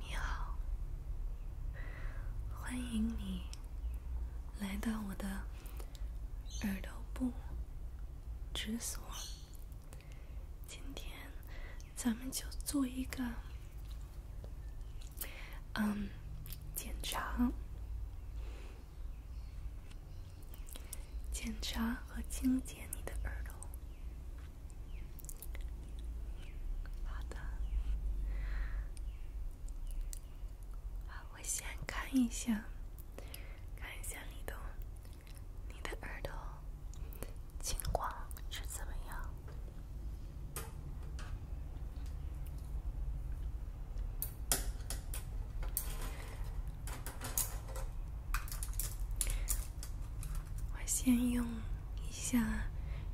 你好，欢迎你来到我的耳朵部诊所。今天咱们就做一个嗯检查。检查和清洁你的耳朵。好的，好，我先看一下，看一下你你的耳朵情况是怎么样。我先用一下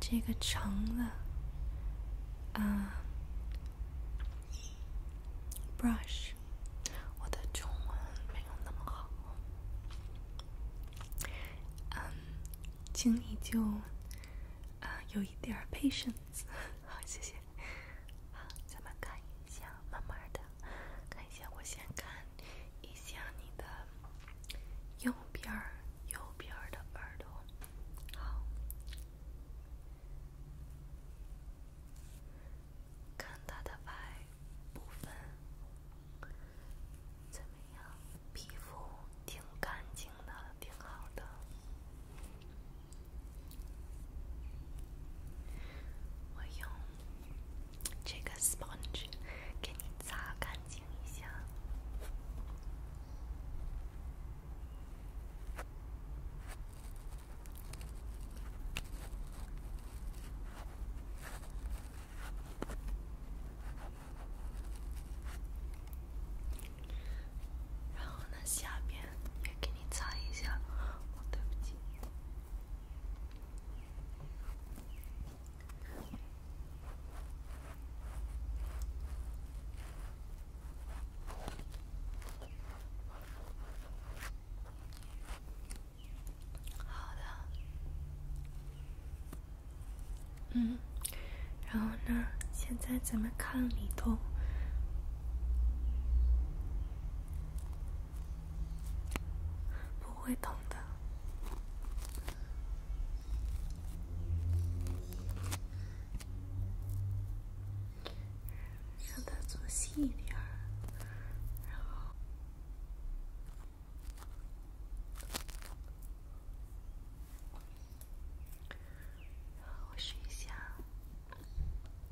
这个长的啊，brush。我的中文没有那么好，嗯，请你就啊有一点 patience，好，谢谢。好，咱们看一下，慢慢的，看一下。我先看一下你的右边儿，右边儿的耳朵。好，看它的白部分怎么样？皮肤挺干净的，挺好的。我用这个 sponge 给你擦干净一下，然后呢，下边。给你猜一下，对不起。好的。嗯，然后呢？现在咱们看里头。不会疼的，让它做细一点儿，然后我试一下。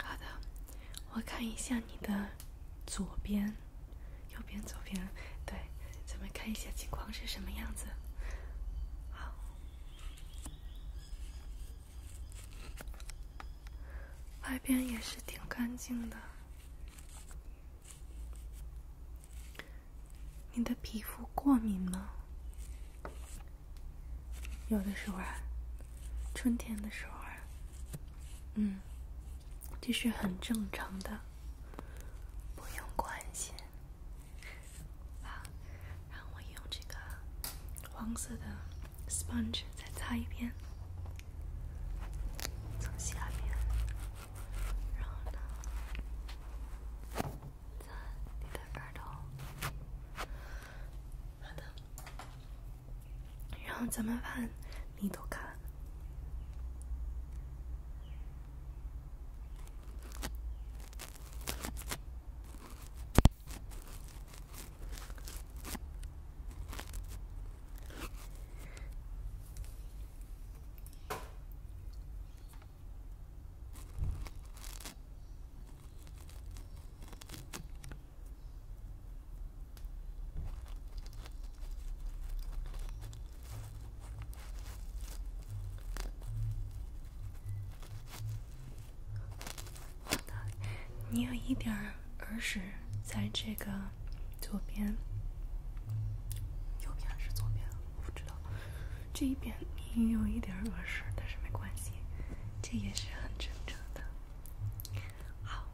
好的，我看一下你的左边、右边、左边，对，咱们看一下情况是什么样子。好，外边也是挺干净的。你的皮肤过敏吗？有的时候，春天的时候，嗯，这是很正常的，不用关心。啊，让我用这个黄色的 sponge 再擦一遍，从下面。然后呢？咱你你都看。你有一点儿儿时，在这个。左边，右边还是左边，我不知道。这一边你有一点耳屎，但是没关系，这也是很正常的。好，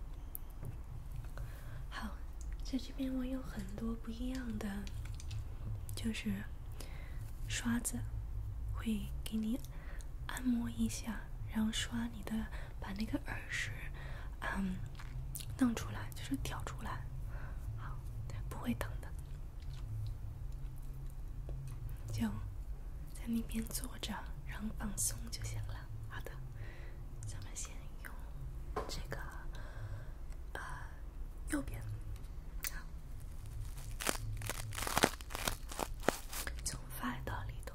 好，在这边我有很多不一样的，就是刷子会给你按摩一下，然后刷你的，把那个耳屎。嗯，弄出来就是挑出来，好，不会疼的，就在那边坐着，然后放松就行了。好的，咱们先用这个，呃，右边，从外到里头，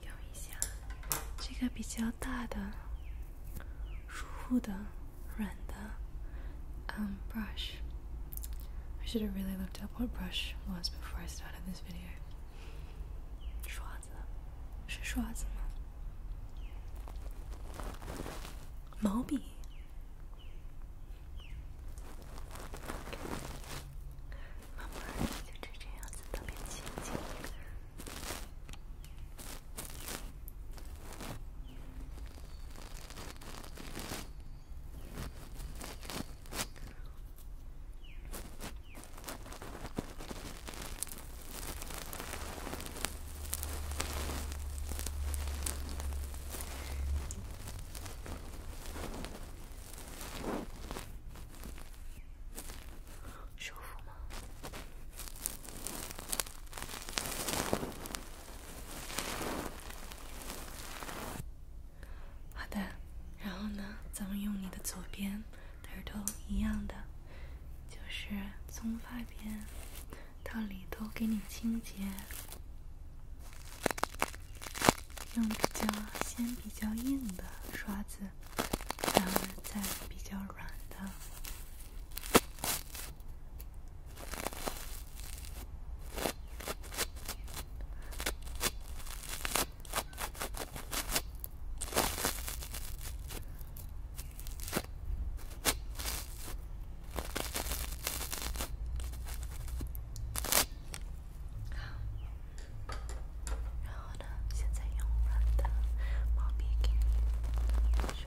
用一下这个比较大的、舒服的、软的，um brush. I should have really looked up what brush was before I started this video. 刷子是刷子吗毛笔舒服吗？好的，然后呢？咱们用你的左边。都是一样的，就是从发边到里头给你清洁，用比较先比较硬的刷子，然后再比较软的。好，然后呢？现在用我的毛笔给你写。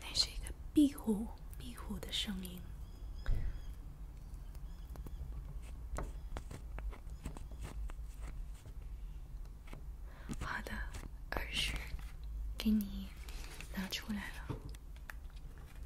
那是一个壁虎，壁虎的声音。好的，耳十，给你拿出来了。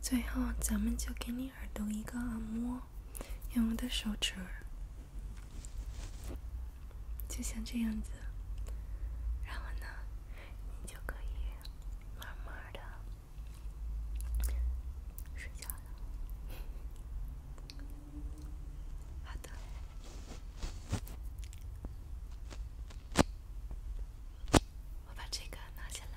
最后，咱们就给你耳朵一个按摩，用我的手指，就像这样子，然后呢，你就可以慢慢的睡觉了。好的。我把这个拿下来。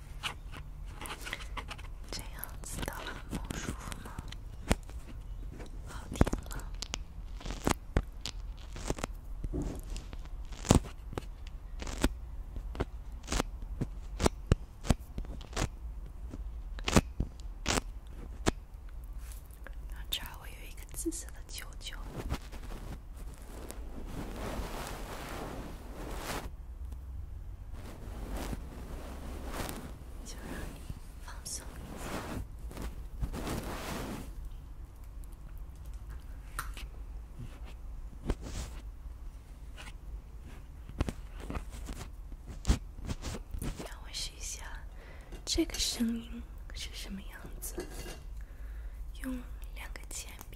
这样子的梦舒服吗？好听吗？这儿我有一个紫色的球球。就让你放松一下。让我试一下，这个声音是什么样子？用两个铅笔。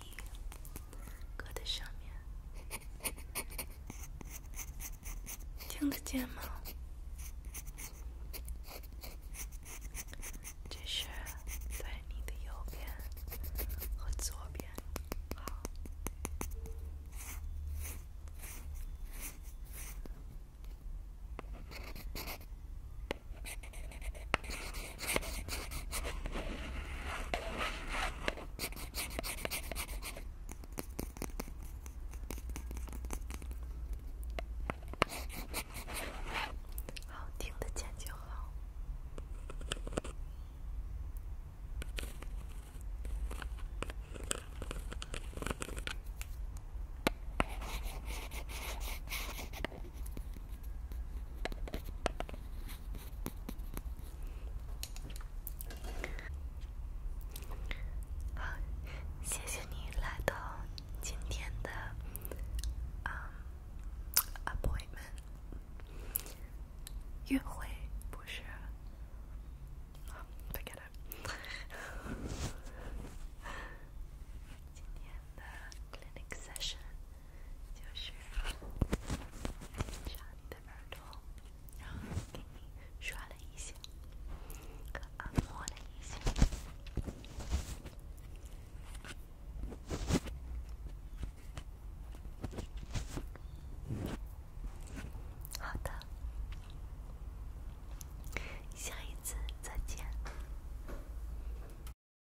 搁在上面，听得见吗？这是对你的右边和左边。好听的，剪就好。好，谢谢你来到今天的嗯 appointment 遇会不是，哦 o g e t it，今天的 clinic session。就是刷你的耳朵，然后给你刷了一下，按摩了一下。好的，下一次再见。